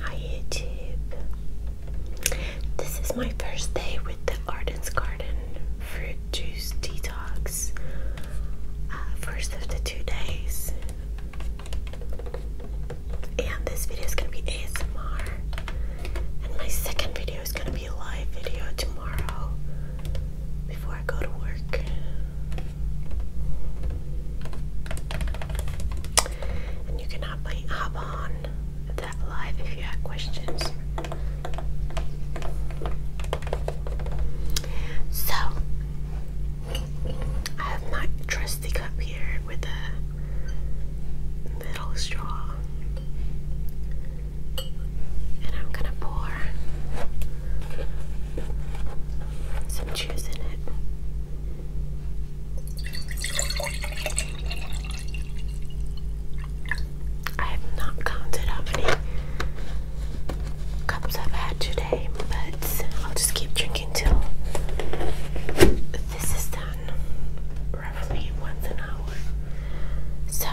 Hi YouTube. This is my first day with the Arden's Garden fruit juice detox. Uh, first of the two days. And this video is going to be ASMR. And my second video is gonna be a live video tomorrow before I go to work. And you can hop, hop on that live if you have questions. So, I have my trusty cup here with a metal straw. And I'm gonna pour some juice in it. I have not counted how many cups I've had today, but I'll just keep drinking till this is done roughly once an hour. So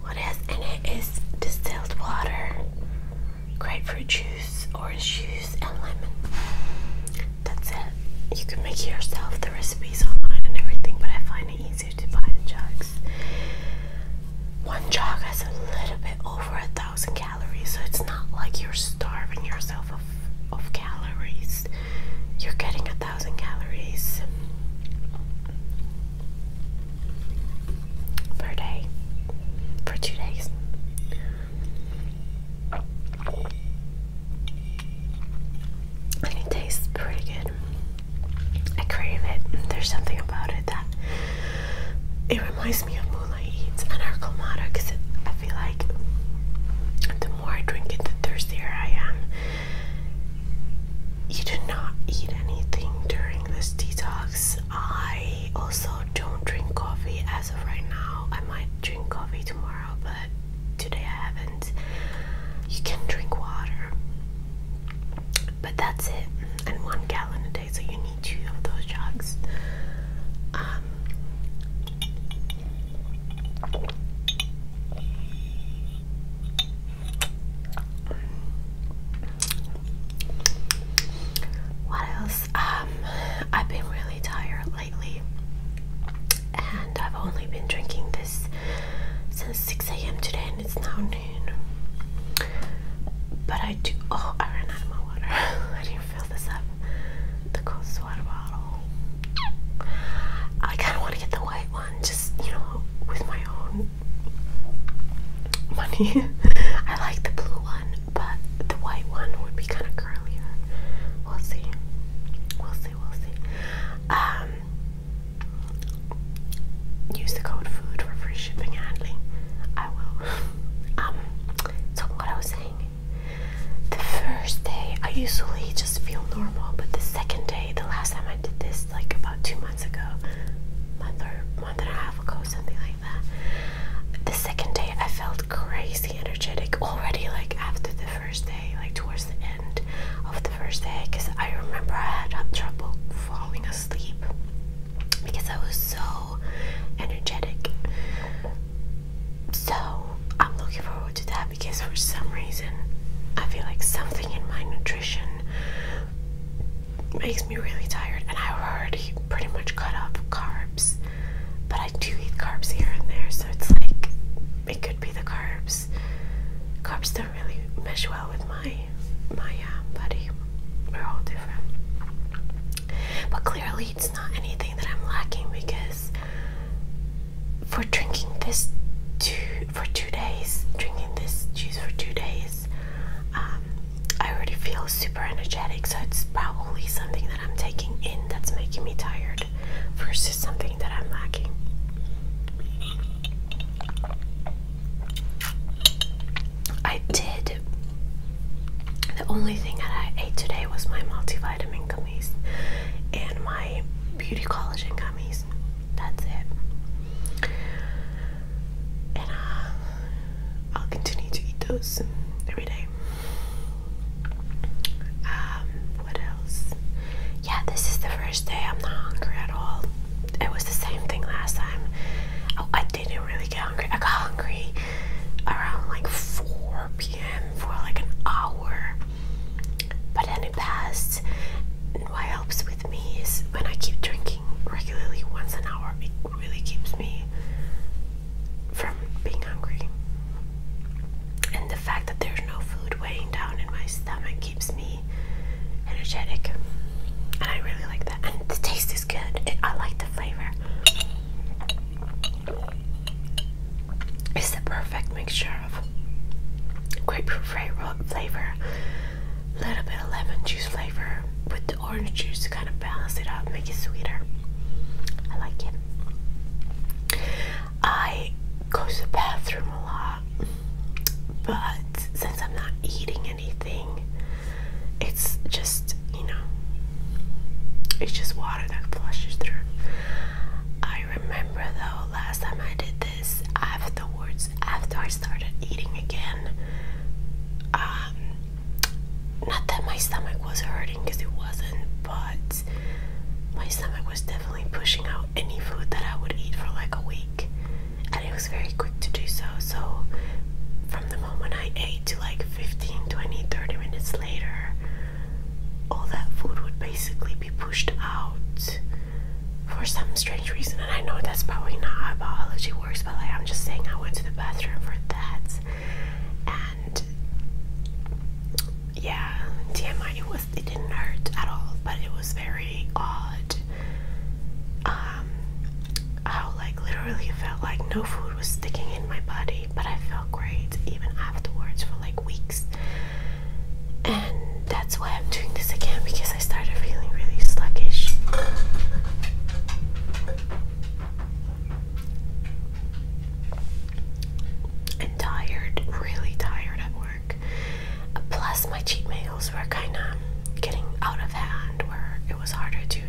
what is in it is distilled water, grapefruit juice, orange juice, and lemon. That's it. You can make yourself. The recipes online and everything, but I find it easier to buy the jugs one jog has a little bit over a thousand calories, so it's not like you're starving yourself of, of calories. You're getting a thousand calories per day for two days. And it tastes pretty good. I crave it. There's something about it that it reminds me of Moonlight Eats and Arcomata because I feel like the more I drink it, the thirstier I am. You do not eat anything during this detox. I also don't drink coffee as of right now. I might drink coffee tomorrow, but today I haven't. You can drink water, but that's it, and one gallon a day so you need two of those jugs. Um, what else? Um, I've been really tired lately, and I've only been drinking this since 6 a.m. today, and it's now but I do. Oh, I ran out of my water. I did fill this up. The coolest water bottle. I kind of want to get the white one, just you know, with my own money. I like the blue one, but the white one would be kind of curlier. We'll see. We'll see. We'll see. Um, use the code food for free shipping handling. I will. Um, so what I was saying. The first day I usually just feel normal, but the second day, the last time I did this, like about two months ago, month or month and a half ago, something like that. The second day I felt crazy energetic already, like after the first day, like towards the end of the first day, because I remember I had trouble falling asleep because I was so energetic. So I'm looking forward to that because for some reason I feel like something in my nutrition makes me really tired and I've already pretty much cut off carbs. But I do eat carbs here and there, so it's like it could be the carbs. Carbs don't really mesh well with my my uh, buddy. We're all different. But clearly, it's not anything that I'm lacking because for drinking this two for two days, drinking this juice for two days, um, I already feel super energetic. So it's probably something that I'm taking in that's making me tired versus something that I'm lacking. I did. The only thing that I ate today was my multivitamin gummies and my beauty collagen gummies. That's it. And uh, I'll continue to eat those every day. Um, what else? Yeah, this is the first day I'm not hungry at all. It was the same thing last time. Oh, I didn't really get hungry. I got hungry around like 4 p.m. for like an hour, but then it passed. And what helps with me is when I keep drinking regularly once an hour, it really keeps me from being hungry. And the fact that there's no food weighing down in my stomach keeps me energetic, and I really like that and the taste is good. It, I like the flavor. It's the perfect mixture of grapefruit flavor, a little bit of lemon juice flavor with the orange juice to kind of balance it out, make it sweeter. I like it. I go to the bathroom a lot, but since I'm not eating it anything. It's just, you know, it's just water that flushes through. I remember though, last time I did this, afterwards, after I started eating again, um, not that my stomach was hurting because it wasn't, but my stomach was definitely pushing out any food that I would eat for like a week and it was very quick to do so. So, from the moment I ate to like 15, 20, 30 minutes later, all that food would basically be pushed out for some strange reason. And I know that's probably not how biology works, but like I'm just saying, I went to the bathroom for that. And yeah, TMI, it, was, it didn't hurt at all, but it was very odd um, how like literally felt like no food was sticking in my body, but I felt great even afterwards for like weeks. And that's why I'm doing this again because I started feeling really sluggish. And tired, really tired at work. Plus, my cheat meal were kind of getting out of hand, where it was harder to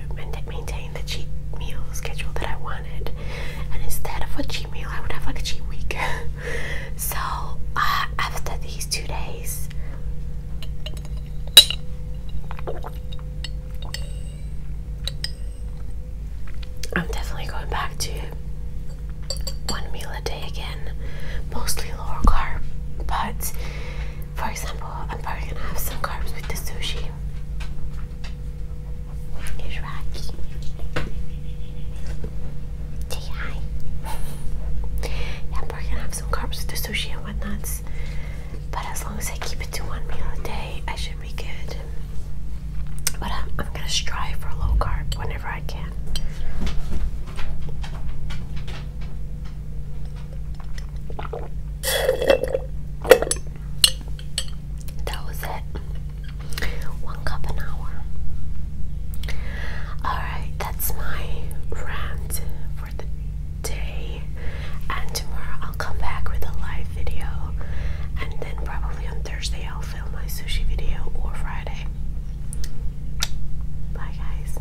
maintain the cheat meal schedule that I wanted. And instead of a cheat meal, I would have like a cheat week. so uh, after these two days, I'm definitely going back to one meal a day again, mostly lower carb, but for example, I'm probably gonna have some carbs with the sushi. Here's Rocky. hi. I'm probably gonna have some carbs with the sushi and whatnot. But as long as I keep it to one meal a day, I should be good. But um, I'm gonna strive for low carb whenever I can. That was it. One cup an hour. Alright, that's my rant for the day. And tomorrow I'll come back with a live video. And then probably on Thursday I'll film my sushi video or Friday. Bye, guys.